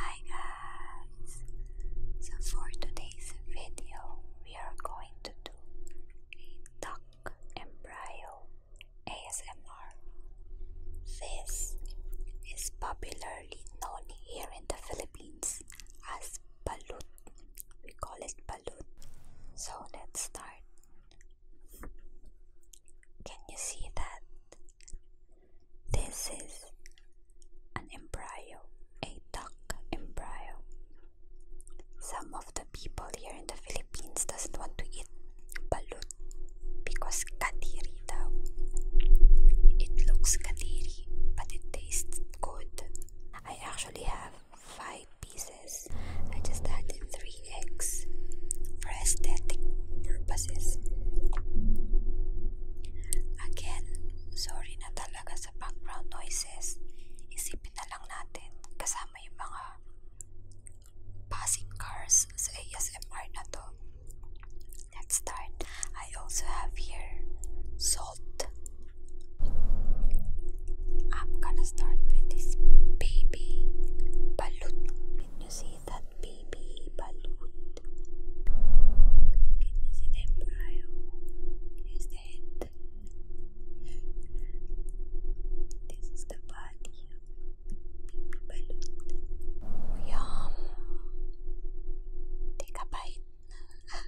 Hi guys! So for today's video we are going to do a duck embryo ASMR. This is popularly known here in the Philippines as balut. We call it balloon. So let's start. Can you see that? This is an embryo, a duck embryo. Some of the people here in the Philippines doesn't want to eat balut because katiri daw. It looks katiri, but it tastes good. I actually have five pieces. I just added three eggs for aesthetic purposes. Again, sorry na talaga sa background noises. Isipin na natin kasama yung mga passing cars sa ASMR na to. let I also have here salt I'm gonna start with this baby balut. Can you see that baby balut? Can you see the embryo? Here's the This is the body baby balut. Yum! Take a bite.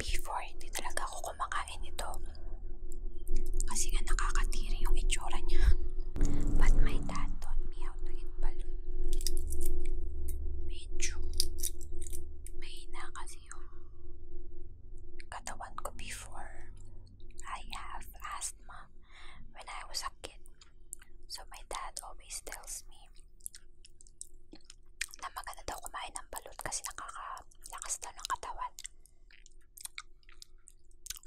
Before, hindi talaga ako kumakain ito. Kasi nga nakakatiri yung itsura niya. But my dad taught me how to eat balloon. Medyo mahina kasi yung katawan ko before. I have asthma when I was a kid. So my dad always tells me na maganda daw kumain ng balut kasi nakakalakas daw ng katawan.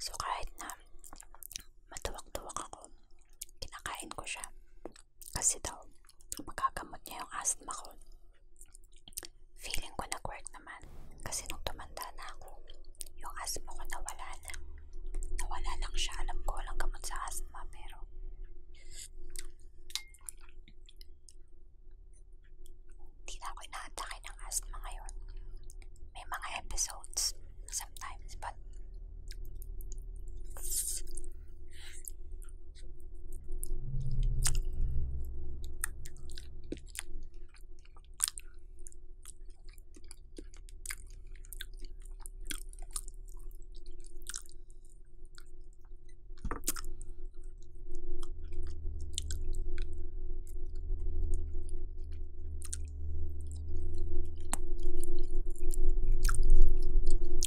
So kahit na matuwag-tuwag ako, kinakain ko siya. Kasi daw, magagamot niya yung asthma ko. Feeling ko nag-work naman. Kasi nung tumanda na ako, yung asthma ko nawala na. Nawala lang siya. Alam ko walang gamot sa asthma pero Tila ko inaatake ng asthma ngayon. May mga episodes sometimes but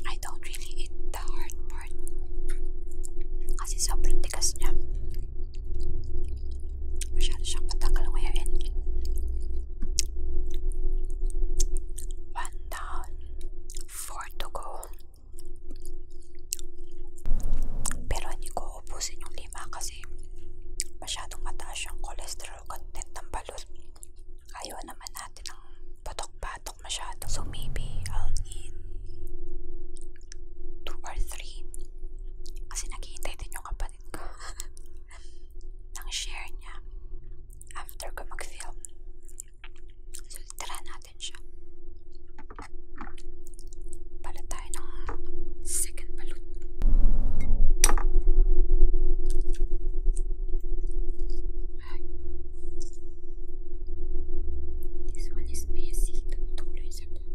I don't really eat the hard part kasi sobrang tigas niya masyado siyang matanggal ngayon one da Portugal. Pero hindi ko ubusin yung lima kasi masyadong mataas yung cholesterol content ng balot. Ayaw naman natin ng patok-patok masyado. So maybe I'll need 2 or 3 kasi naghihintay din yung kapatid ko. ng share niya after ko mag-film. So, tara natin siya. Pala tayo ng second balut. This one is messy. Tumutuloy sa balut.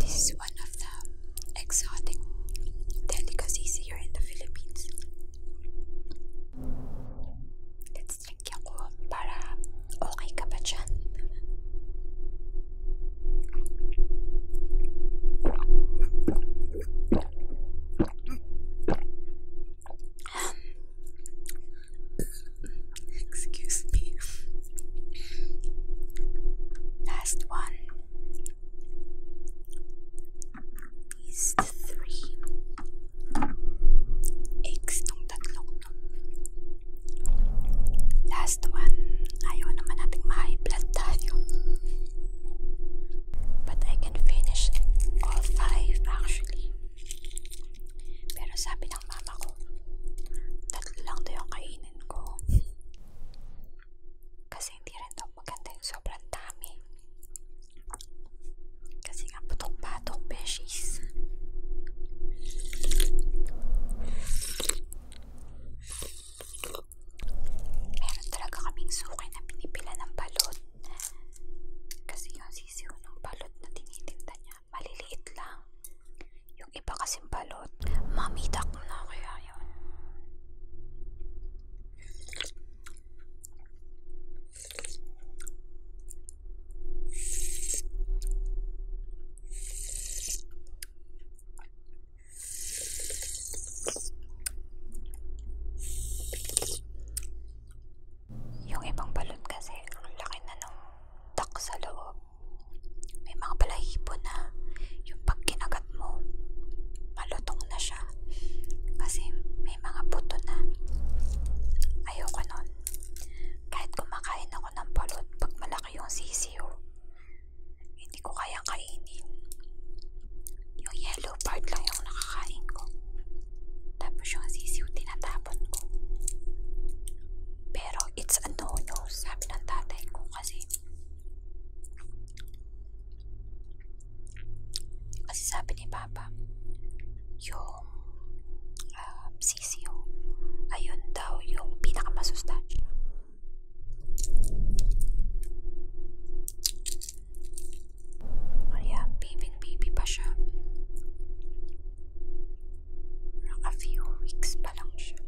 This is one of the exotic delicacies here in the Philippines. Let's drink yan ko okay ka ba um, Excuse me. Last one these three eggs tong tatlong to. Last one, ayaw naman nating ma-high blood tayo. But I can finish all five actually. Pero sabi ng mama ko, tatlo yung kainin ko. Kasi kasi hindi rin daw maganda yung sobrang dami kasi nga patok-patok beshies meron talaga kaming suki na pinipila ng balot kasi yung sisiw ng balot na tinitinda niya maliliit lang yung iba kasing balot balot. Mamidak na kaya yun. Yung ibang balot kasi ang laki na ng tak sa loob. May mga balahibo na yung pag kinagat mo, malutong na siya. Kasi may mga buto na. Ayoko nun. Kahit kumakain ako ng balot pag malaki yung sisiyo, hindi ko kayang kainin. Yung yellow part lang yung nakakain ko. Tapos yung sisiyo tinatapon ko. Pero it's a no-no, sabi ng tatay ko kasi kasi sabi ni Papa, yung uh, ah, sisiyo, ayun daw yung pinakamasustansya. Kaya, baby-baby pa siya. Naka few weeks pa lang siya.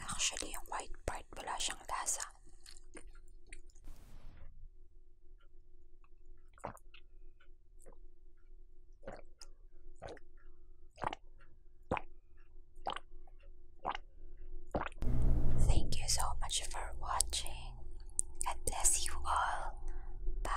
Actually, yung white part wala siyang lasa. Thank you so much for watching. God bless you all. Bye.